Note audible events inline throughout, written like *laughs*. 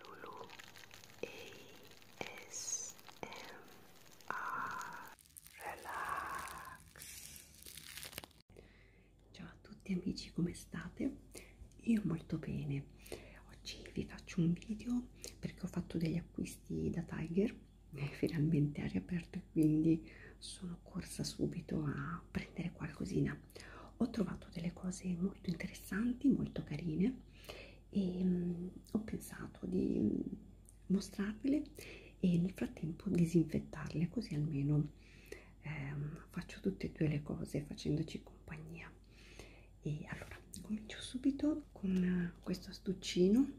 Lulu ASMR Relax Ciao a tutti amici come state? Io molto bene Oggi vi faccio un video perché ho fatto degli acquisti da Tiger e finalmente ha riaperto e quindi sono corsa subito a prendere qualcosina ho trovato delle cose molto interessanti, molto carine e mh, mm, ho pensato di mh, mm, mostrarvele e nel frattempo disinfettarle così almeno ehm, faccio tutte e due le cose facendoci compagnia e allora comincio subito con eh, questo astuccino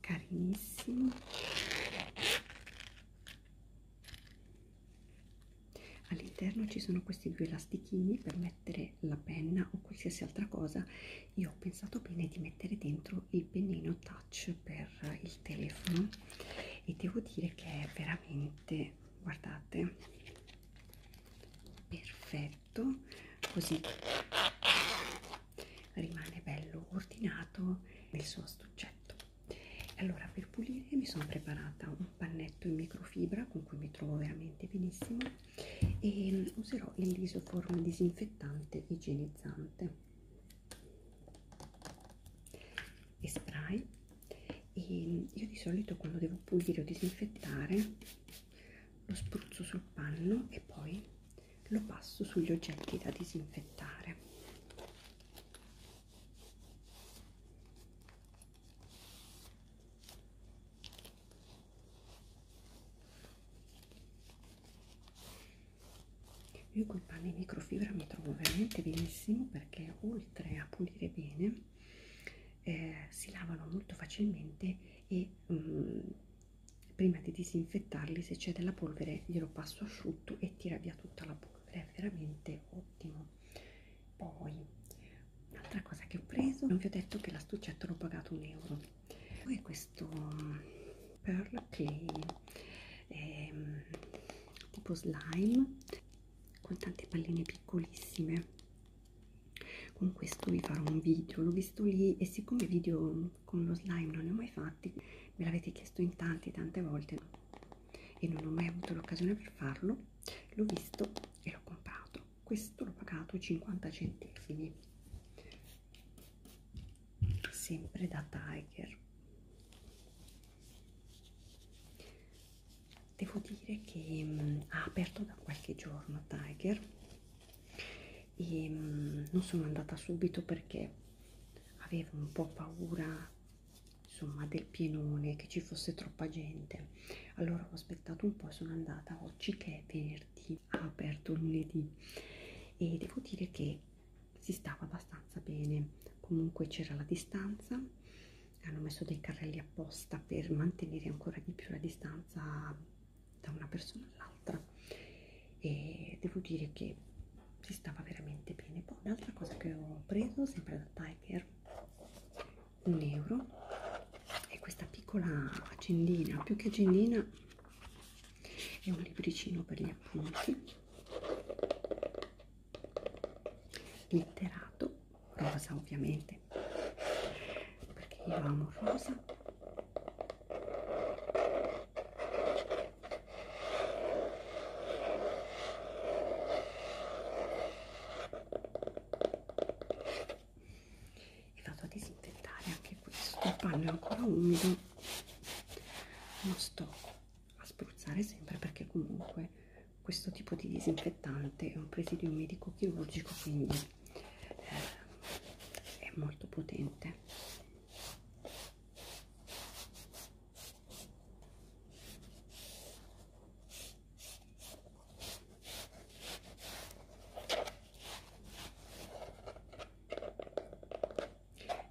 carinissimo all'interno ci sono questi due elastichini per mettere la penna o qualsiasi altra cosa io ho pensato bene di mettere dentro il pennino touch per il telefono e devo dire che è veramente guardate perfetto così rimane bello ordinato nel suo astuccetto allora per pulire mi sono preparata un pannetto in microfibra con cui mi trovo veramente benissimo e mm, userò il lisoform disinfettante igienizzante e spray e mm, io di solito quando devo pulire o disinfettare lo spruzzo sul panno e poi lo passo sugli oggetti da disinfettare io con panni microfibra mi trovo veramente benissimo perché oltre a pulire bene eh, si lavano molto facilmente e um, prima di disinfettarli se c'è della polvere glielo passo asciutto tutto e tira via tutta la polvere, è veramente ottimo. Poi, un'altra cosa che ho preso, non vi ho detto che l'astuccetto l'ho pagato un euro. Poi questo Pearl Clay, è ehm, tipo slime, con tante palline piccolissime. Con questo vi farò un video, l'ho visto lì e siccome video con lo slime non ne ho mai fatti me l'avete chiesto in tanti tante volte e non ho mai avuto l'occasione per farlo l'ho visto e l'ho comprato questo l'ho pagato 50 centesimi sempre da Tiger devo dire che mh, mm, ha aperto da qualche giorno Tiger e mh, mm, non sono andata subito perché avevo un po' paura insomma del pienone che ci fosse troppa gente allora ho aspettato un po' e sono andata oggi che è venerdì ha aperto lunedì e devo dire che si stava abbastanza bene comunque c'era la distanza hanno messo dei carrelli apposta per mantenere ancora di più la distanza da una persona all'altra e devo dire che si stava veramente bene poi un'altra cosa che ho preso sempre da Tiger un euro è questa piccola agendina più che agendina è un libricino per gli appunti letterato rosa ovviamente perché io amo rosa e vado a disinfettare anche questo il panno è ancora umido lo sto a spruzzare sempre perché comunque questo tipo di disinfettante è un presidio medico chirurgico quindi eh, è molto potente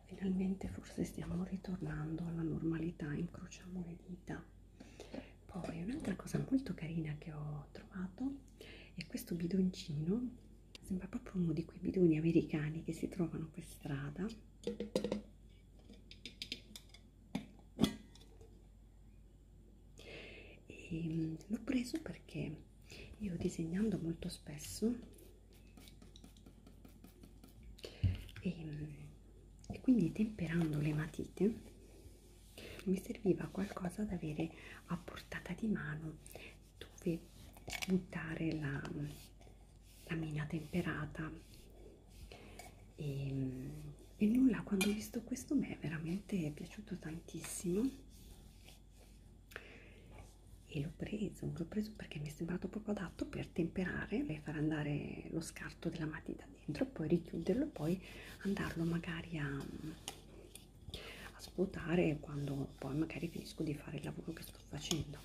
Finalmente forse stiamo ritornando alla normalità, incrociamo le dita. Poi un'altra cosa molto carina che ho trovato è questo bidoncino sembra proprio uno di quei bidoni americani che si trovano per strada ehm, l'ho preso perché io disegnando molto spesso e, ehm, e quindi temperando le matite mi serviva qualcosa da avere a portata di mano dove buttare la, la mina temperata e, ehm, e nulla quando ho visto questo mi è veramente piaciuto tantissimo e l'ho preso, l'ho preso perché mi è sembrato proprio adatto per temperare e far andare lo scarto della matita dentro, poi richiuderlo e poi andarlo magari a, a svuotare quando poi magari finisco di fare il lavoro che sto sto facendo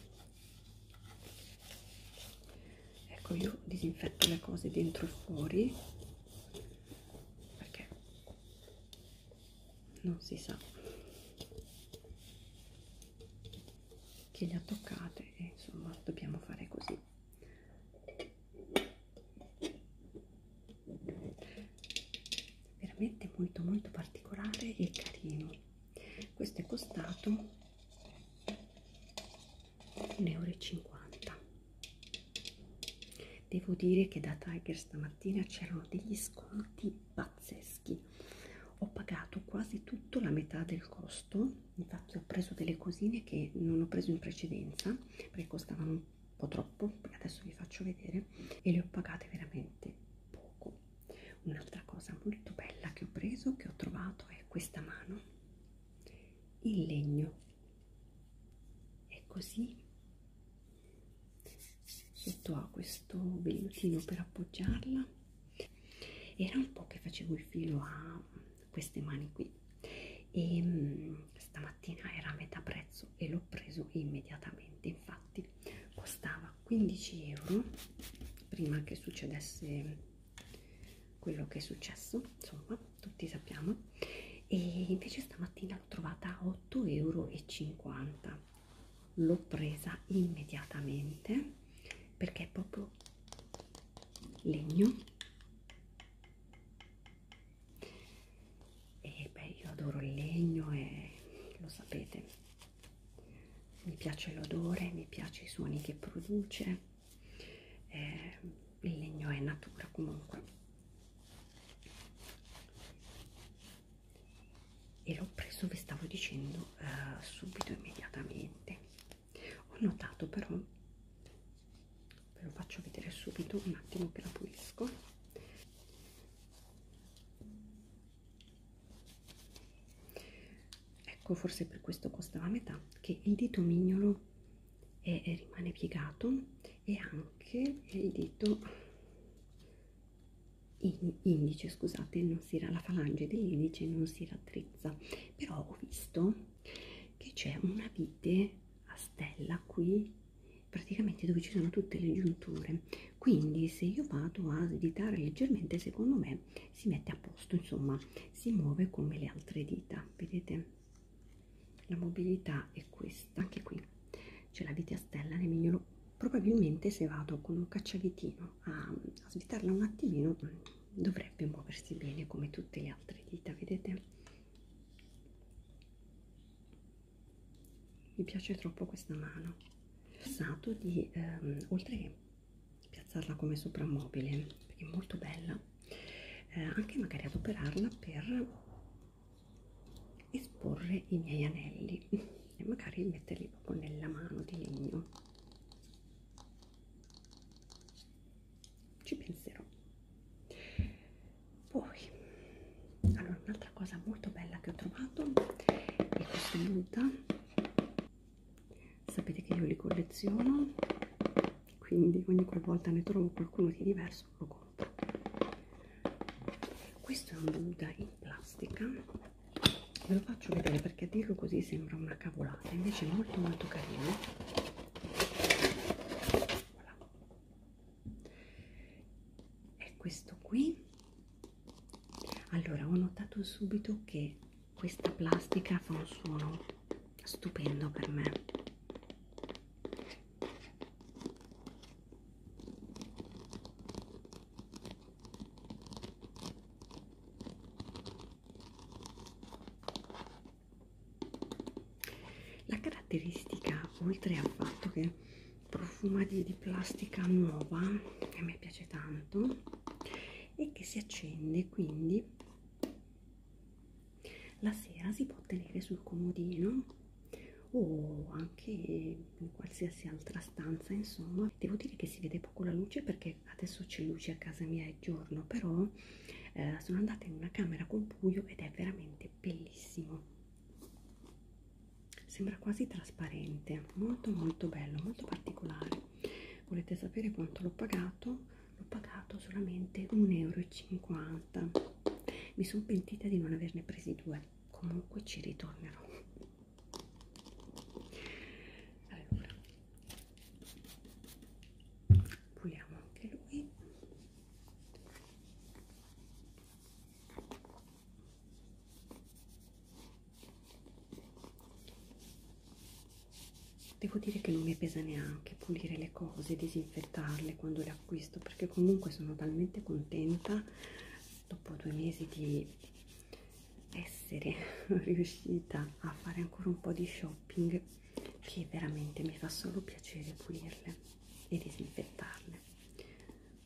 ecco io disinfetto le cose dentro e fuori perché non si sa che le ha toccate e insomma dobbiamo fare così veramente molto molto particolare e carino questo è costato 1,50 euro devo dire che da Tiger stamattina c'erano degli sconti pazzeschi ho pagato quasi tutto la metà del costo infatti ho preso delle cosine che non ho preso in precedenza perché costavano un po' troppo adesso vi faccio vedere e le ho pagate veramente poco Un'altra cosa molto bella che ho preso, che ho trovato, è questa mano in legno. È così. Sotto ha questo bellutino per appoggiarla. Era un po' che facevo il filo a queste mani qui e mm, stamattina era a metà prezzo e l'ho preso immediatamente infatti costava 15 euro prima che succedesse quello che è successo insomma tutti sappiamo e invece stamattina l'ho trovata a 8,50 euro l'ho presa immediatamente perché è proprio legno e beh io adoro il legno e lo sapete mi piace l'odore mi piace i suoni che produce eh, il legno è natura comunque e l'ho preso vi stavo dicendo eh, subito immediatamente ho notato però ve lo faccio vedere subito un attimo che la pulisco ecco forse per questo costava metà che il dito mignolo è, è rimane piegato e anche il dito in, indice scusate non si, la falange dell'indice non si raddrizza però ho visto che c'è una vite a stella qui praticamente dove ci sono tutte le giunture quindi se io vado a svitare leggermente secondo me si mette a posto insomma si muove come le altre dita vedete la mobilità è questa anche qui c'è la vite a stella nel mignolo probabilmente se vado con un cacciavitino a, a svitarla un attimino dovrebbe muoversi bene come tutte le altre dita vedete mi piace troppo questa mano ho pensato di ehm, oltre che piazzarla come soprammobile perché è molto bella eh, anche magari adoperarla per esporre i miei anelli e magari metterli proprio nella mano di legno ci penserò poi allora un'altra cosa molto bella che ho trovato è questa muta sapete che io li colleziono quindi ogni qualvolta ne trovo qualcuno di diverso lo compro questo è un Buddha in plastica ve lo faccio vedere perché a dirlo così sembra una cavolata invece è molto molto carino voilà è questo qui allora ho notato subito che questa plastica fa un suono stupendo per me la caratteristica oltre al fatto che profuma di, di plastica nuova che a me piace tanto e che si accende quindi la sera si può tenere sul comodino o anche in qualsiasi altra stanza insomma devo dire che si vede poco la luce perché adesso c'è luce a casa mia è giorno però eh, sono andata in una camera con buio ed è veramente bellissimo sembra quasi trasparente molto molto bello molto particolare volete sapere quanto l'ho pagato l'ho pagato solamente 1,50 euro mi sono pentita di non averne presi due comunque ci ritornerò allora puliamo anche lui Devo dire che non mi pesa neanche pulire le cose, disinfettarle quando le acquisto, perché comunque sono talmente contenta dopo due mesi di essere *laughs* riuscita a fare ancora un po' di shopping che veramente mi fa solo piacere pulirle e disinfettarle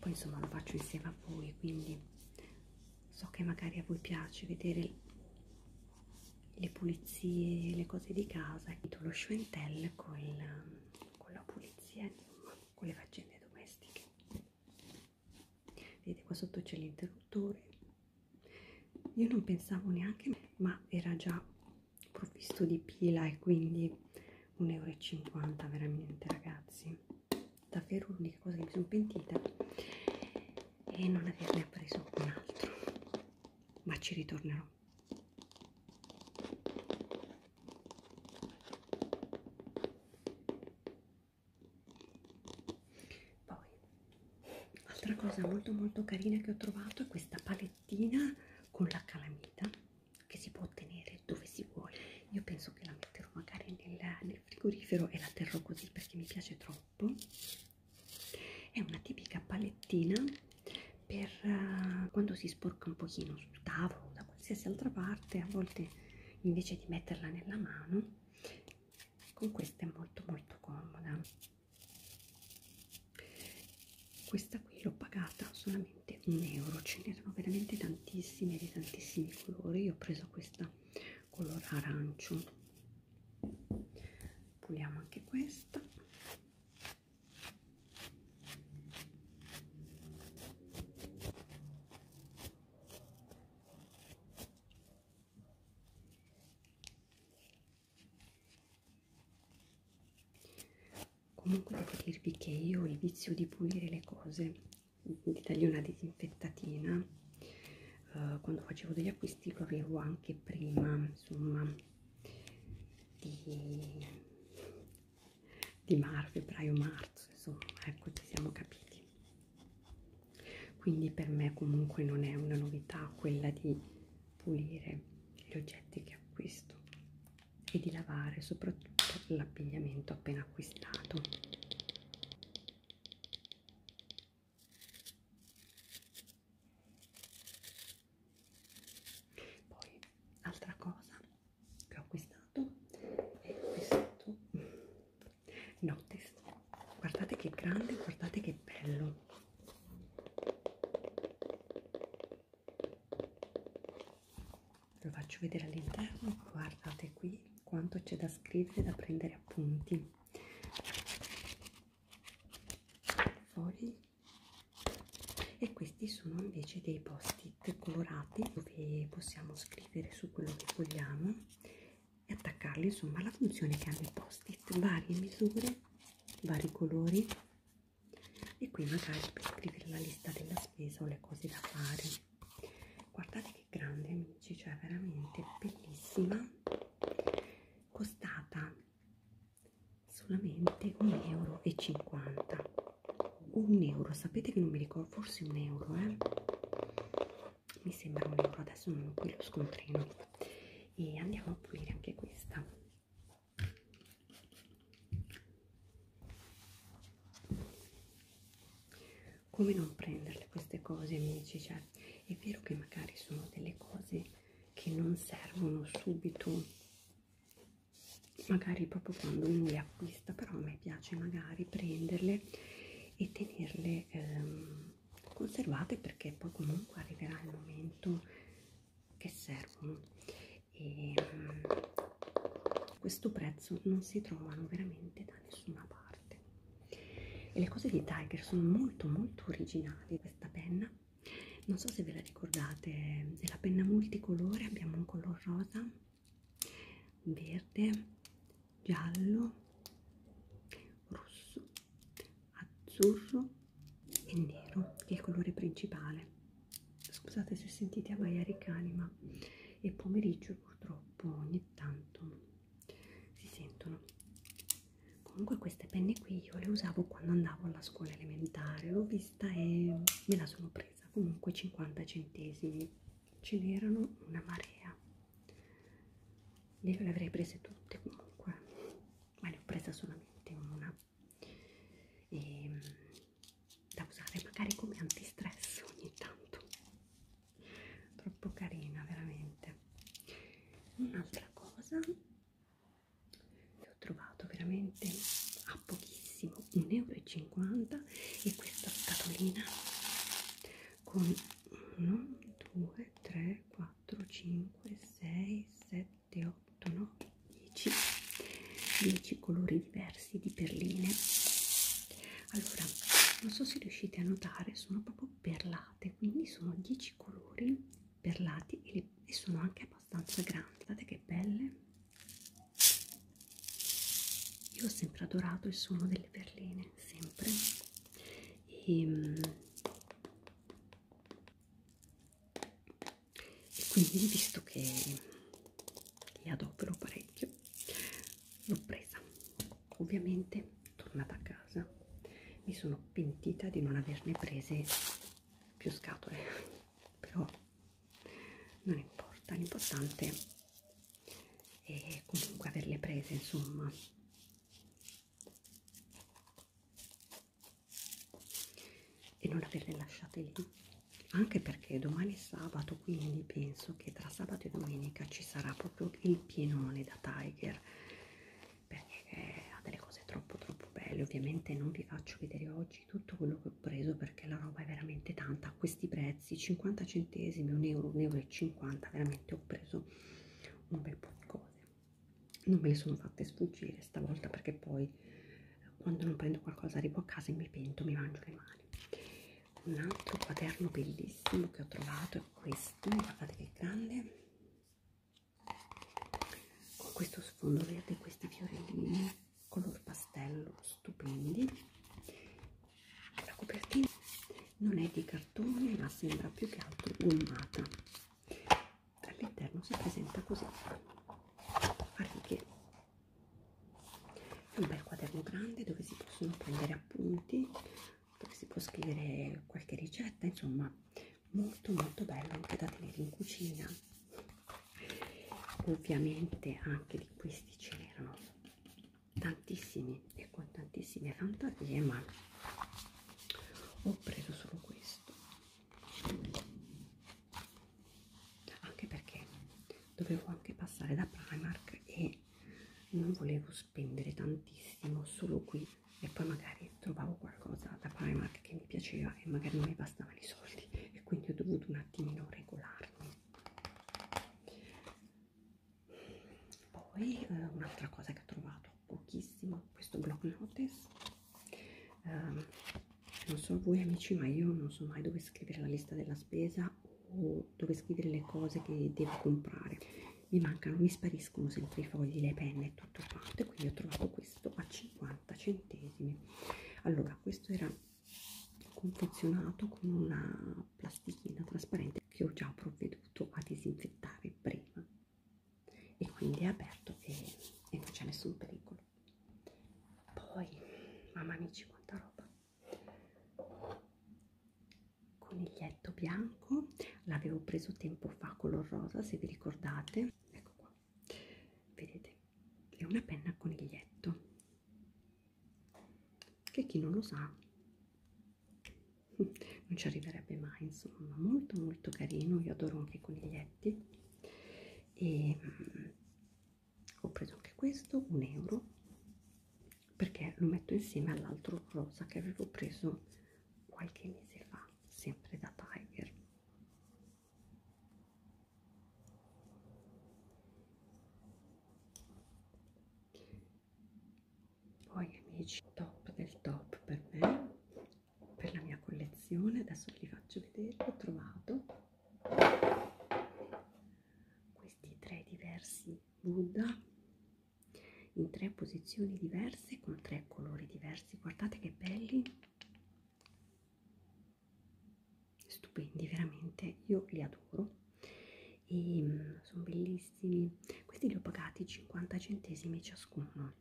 poi insomma lo faccio insieme a voi quindi so che magari a voi piace vedere le pulizie le cose di casa lo Schwentel con, con la pulizia insomma con le faccende domestiche vedete qua sotto c'è l'interruttore io non pensavo neanche ma era già provvisto di pila e quindi 1,50 euro veramente ragazzi davvero l'unica cosa che mi sono pentita è non averne preso un altro ma ci ritornerò poi altra cosa molto molto carina che ho trovato è questa palettina con la calamita che si può ottenere dove si vuole. Io penso che la metterò magari nel, nel frigorifero e la terrò così perché mi piace troppo. È una tipica palettina per uh, quando si sporca un pochino sul tavolo o da qualsiasi altra parte, a volte invece di metterla nella mano, con questa è molto molto comoda questa qui l'ho pagata solamente un euro ce n'erano veramente tantissime di tantissimi colori io ho preso questa color arancio puliamo anche questa comunque devo dirvi che io ho il vizio di pulire le cose di dargli una disinfettatina uh, quando facevo degli acquisti lo avevo anche prima insomma di, di marzo febbraio marzo insomma ecco ci siamo capiti quindi per me comunque non è una novità quella di pulire gli oggetti che acquisto e di lavare soprattutto l'abbigliamento appena acquistato. Poi, altra cosa che ho acquistato è questo notice. Guardate che grande, guardate che bello lo faccio vedere all'interno guardate qui quanto c'è da scrivere da prendere appunti fogli e questi sono invece dei post-it colorati dove possiamo scrivere su quello che vogliamo e attaccarli insomma la funzione che hanno i post-it varie misure vari colori e qui magari per scrivere la lista della spesa o le cose da fare guardate che grande amici cioè veramente bellissima costata solamente 1,50 euro 1 euro sapete che non mi ricordo forse un euro eh? mi sembra un euro adesso non ho qui lo scontrino e andiamo a pulire anche questa come non prenderle queste cose, amici? Cioè, è vero che magari sono delle cose che non servono subito, magari proprio quando uno le acquista, però a me piace magari prenderle e tenerle ehm, conservate perché poi comunque arriverà il momento che servono e a mm, questo prezzo non si trovano veramente da nessuna parte e le cose di Tiger sono molto molto originali questa penna non so se ve la ricordate è la penna multicolore abbiamo un color rosa verde giallo rosso azzurro e nero che è il colore principale scusate se sentite a maiari cani ma il pomeriggio purtroppo ogni tanto si sentono comunque queste penne qui io le usavo quando andavo alla scuola elementare l'ho vista e me la sono presa comunque 50 centesimi ce n'erano una marea io le avrei prese tutte comunque ma ne ho presa solamente una e, mm, da usare magari come antistress ogni tanto troppo carina veramente un'altra cosa che ho trovato veramente a pochissimo 1,50 euro e questa scatolina con 1 2 3 4 5 6 7 7, 8, 9, 10, 10 colori diversi di perline. Allora, non so se riuscite a notare, sono proprio perlate, quindi sono 10 colori perlati e, le, e sono anche abbastanza grandi. Guardate che belle! Io ho sempre adorato il suono delle perline, sempre. E, ehm, e quindi visto che li adopero parecchio l'ho presa ovviamente tornata a casa mi sono pentita di non averne prese più scatole però non importa l'importante è comunque averle prese insomma e non averle lasciate lì anche perché domani è sabato quindi penso che tra sabato e domenica ci sarà proprio il pienone da Tiger perché ha delle cose troppo troppo belle ovviamente non vi faccio vedere oggi tutto quello che ho preso perché la roba è veramente tanta a questi prezzi 50 centesimi 1 euro 1 euro e 50 veramente ho preso un bel po' di cose non me le sono fatte sfuggire stavolta perché poi quando non prendo qualcosa arrivo a casa e mi pento, mi mangio le mani. Un altro quaderno bellissimo che ho trovato è questo, guardate che grande, con questo sfondo verde, questi fiorellini color pastello, stupendi. La copertina non è di cartone ma sembra più che altro gommata all'interno si presenta così a righe è un bel quaderno grande dove si possono prendere appunti dove si può scrivere qualche ricetta insomma molto molto bello anche da tenere in cucina ovviamente anche di questi ce n'erano tantissimi e con tantissime fantasie ma ho preso solo questo anche perché dovevo anche passare da Primark e non volevo spendere tantissimo solo qui e poi magari trovavo qualcosa da Primark che mi piaceva e magari non mi bastavano i soldi e quindi ho dovuto un attimino regolarmi poi eh, un'altra cosa che ho trovato pochissimo questo block notice um, non so voi amici ma io non so mai dove scrivere la lista della spesa o dove scrivere le cose che devo comprare mi mancano mi spariscono sempre i fogli le penne e tutto quanto e quindi ho trovato questo a 50 centesimi allora questo era confezionato con una plastichina trasparente che ho già provveduto a disinfettare prima e quindi è aperto e, e non c'è nessun pericolo poi mamma amici quanta roba coniglietto bianco l'avevo preso tempo fa color rosa se vi ricordate ecco qua vedete è una penna coniglietto che chi non lo sa non ci arriverebbe mai insomma molto molto carino io adoro anche i coniglietti pacchetti e mm, ho preso anche questo un euro perché lo metto insieme all'altro rosa che avevo preso qualche mese fa sempre da Tiger poi amici top del top per me per la mia collezione adesso vi faccio vedere ho trovato questi tre diversi Buddha in tre posizioni diverse con tre colori diversi guardate che belli stupendi veramente io li adoro e mm, sono bellissimi questi li ho pagati 50 centesimi ciascuno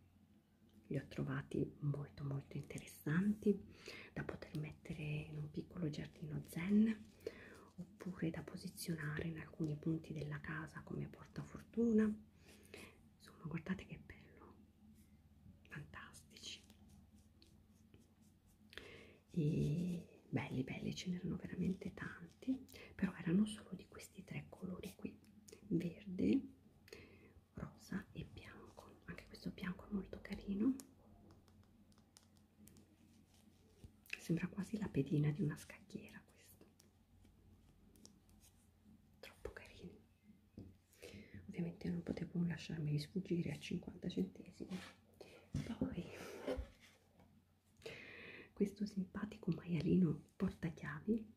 li ho trovati molto molto interessanti da poter mettere in un piccolo giardino zen oppure da posizionare in alcuni punti della casa come portafortuna insomma guardate che bello fantastici e belli belli ce n'erano veramente tanti però erano solo di questi tre colori qui verde rosa e bianco anche questo bianco è molto carino sembra quasi la pedina di una scacchiera questo troppo carino ovviamente non potevo lasciarmi sfuggire a 50 centesimi poi questo simpatico maialino portachiavi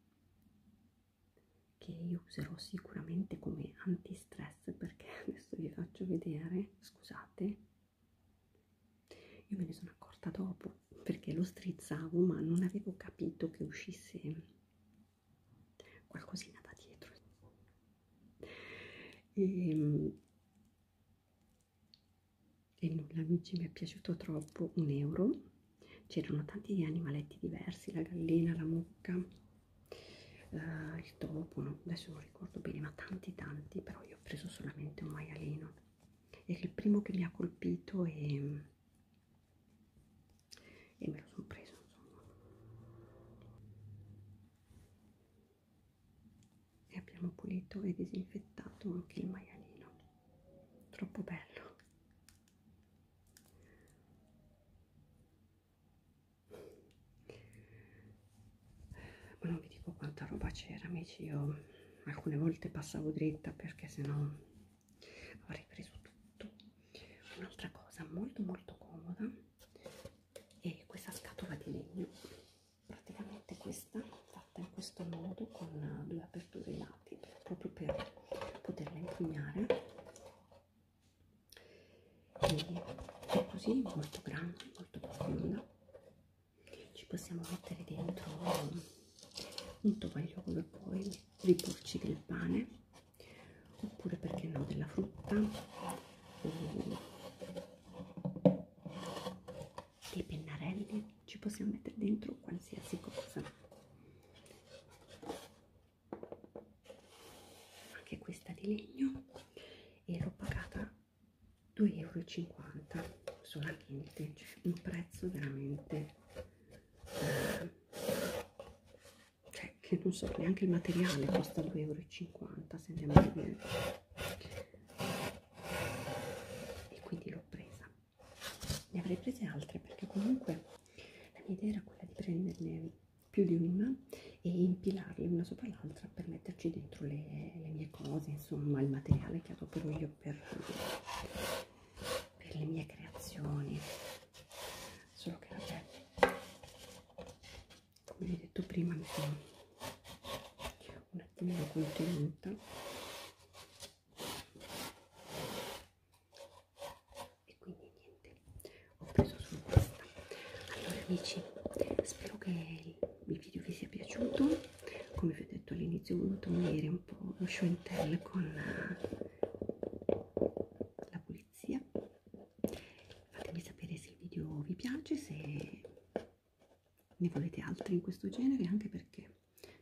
che io userò sicuramente come antistress perché *laughs* adesso vi faccio vedere scusate io me ne sono accorta dopo perché lo strizzavo ma non avevo capito che uscisse qualcosina da dietro e, ehm, e nulla amici mi è piaciuto troppo un euro c'erano tanti animaletti diversi la gallina la mucca eh, il topo no? adesso non ricordo bene ma tanti tanti però io ho preso solamente un maialino era il primo che mi ha colpito e, e me lo sono preso insomma e abbiamo pulito e disinfettato anche il maialino troppo bello ma non vi dico quanta roba c'era amici io alcune volte passavo dritta perché sennò avrei preso tutto un'altra cosa molto molto comoda è questa scatola di legno praticamente questa fatta in questo modo con due aperture là stampati proprio per poterla impugnare e è così molto grande molto profonda ci possiamo mettere dentro un tovaglio dove poi riporci del pane oppure perché no della frutta o dei pennarelli ci possiamo mettere dentro qualsiasi cosa anche questa di legno e l'ho pagata 2,50 euro solamente cioè un prezzo veramente eh, cioè che non so neanche il materiale costa 2,50 euro se andiamo a vedere e quindi l'ho presa ne avrei prese altre perché comunque la mia idea era quella di prenderne più di una e impilarle una sopra l'altra per metterci dentro le, le mie cose insomma il materiale che adopero io per, per le mie creazioni solo che vabbè come vi ho detto prima mi sono un attimino contenuta e quindi niente ho preso su questa allora amici spero che il video vi sia piaciuto come vi ho detto all'inizio ho voluto unire un po' lo show and tell con la, eh, la pulizia fatemi sapere se il video vi piace se ne volete altri in questo genere anche perché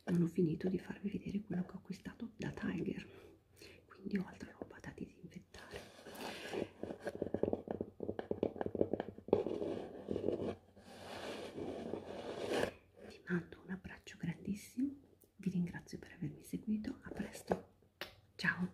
non ho finito di farvi vedere quello che ho acquistato da Tiger quindi ho altra roba da disinfettare vi mando un abbraccio grandissimo vi ringrazio per avermi seguito a presto ciao